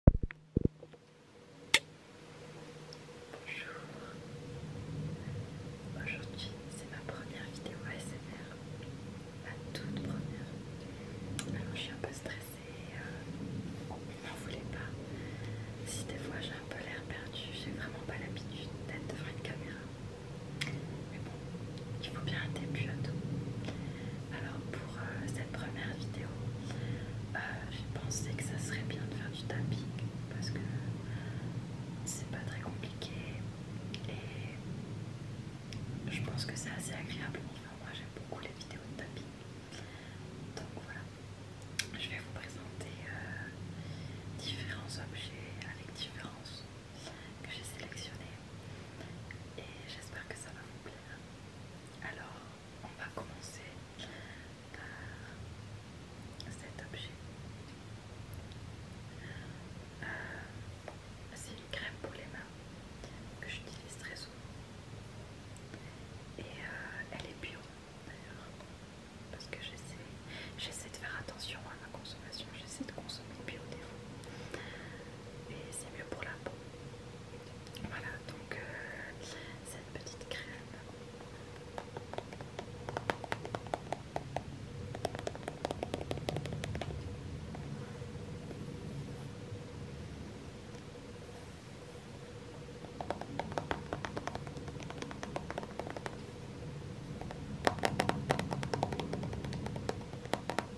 Bonjour, aujourd'hui c'est ma première vidéo ASMR, ma toute première. Alors je suis un peu stressée, euh, n'en voulez pas. Si des fois j'ai un peu l'air perdu, j'ai vraiment pas l'habitude d'être devant une caméra. Mais bon, il faut bien un début à tout. Alors pour euh, cette première vidéo. Euh, j'ai pensé que ça serait bien de faire du tapping parce que c'est pas très compliqué et je pense que c'est assez agréable. Enfin, moi j'aime beaucoup les vidéos de tapping. Donc voilà, je vais vous présenter euh, différents objets avec différence que j'ai sélectionné et j'espère que ça va vous plaire. Alors, on va commencer par cet objet. Euh, c'est une crème pour les mains que j'utilise très souvent. Et euh, elle est bio d'ailleurs. Parce que j'essaie de faire attention à ma consommation, j'essaie de consommer bio des fois. Et c'est mieux pour la peau. Voilà, donc euh, cette petite crème.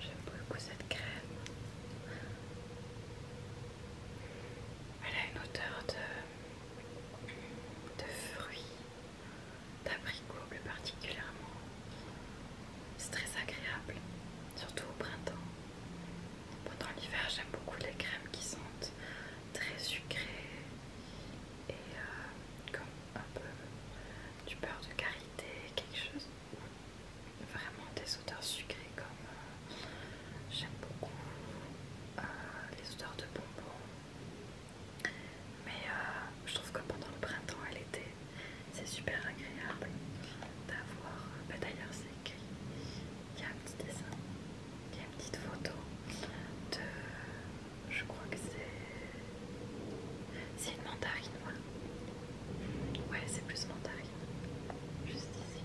J'aime beaucoup cette crème. Elle a une odeur de, de fruits, d'abricots plus particulièrement. C'est très agréable, surtout au printemps. Pendant l'hiver, j'aime beaucoup les crèmes qui sentent très sucré et euh, comme un peu du beurre de karité, quelque chose. Vraiment des odeurs sucrées comme euh, j'aime beaucoup euh, les odeurs de bonbons. Mais je trouve que pendant le printemps et l'été, c'est super agréable d'avoir. Bah D'ailleurs, c'est écrit il y a un petit dessin, il y a une petite photo de. Je crois que c'est. C'est une mandarine, voilà. Ouais, c'est plus mandarine. Juste ici.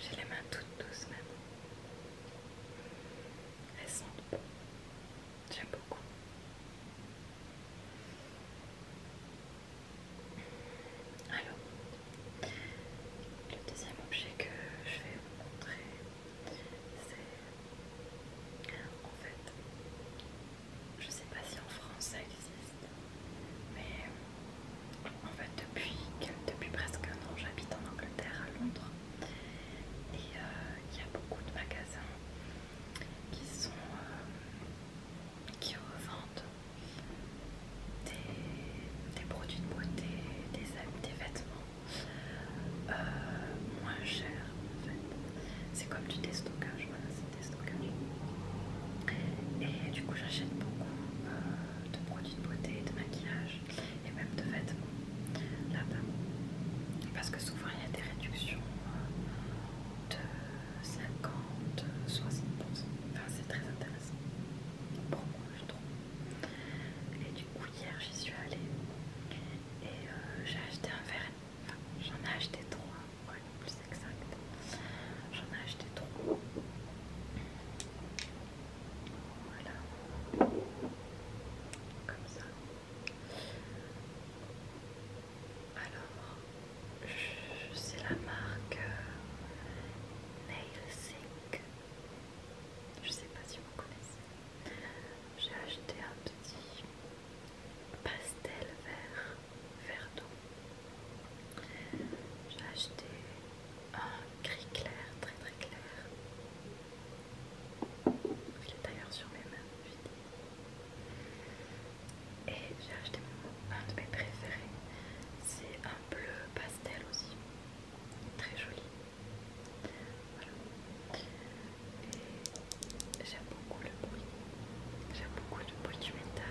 J'ai les mains toutes douces même. Elles sont J'aime beaucoup. Alors, le deuxième objet que je vais vous montrer, c'est en fait, je sais pas si en France ça existe. Mais en fait, depuis, depuis presque un an, j'habite en Angleterre, à Londres. Et euh, il y a beaucoup de magasins qui sont... Euh, qui revendent des, produits de beauté, des, des vêtements euh, moins chers en fait. C'est comme du déstockage, voilà, c'est déstockage. Et du coup j'achète beaucoup de produits de beauté, de maquillage et même de vêtements là-bas. Parce que souvent il y a des réductions euh, de 50, 60%. c'est très intéressant pour moi, je trouve. Et du coup, hier j'y suis allée et euh, j'ai acheté un verre. j'en ai acheté trois, pour une plus exact. J'en ai acheté trois. Voilà. Comme ça. Alors, c'est la marque euh, Nail Sync. Je sais pas si vous connaissez. J'ai acheté un petit pastel vert, vert d'eau. J'ai acheté un gris clair, très très clair. Il est d'ailleurs sur mes mains, Et j'ai acheté un de mes préférés. C'est un bleu pastel aussi. Très joli. Voilà. j'aime beaucoup le bruit. J'aime beaucoup le bruit du métal.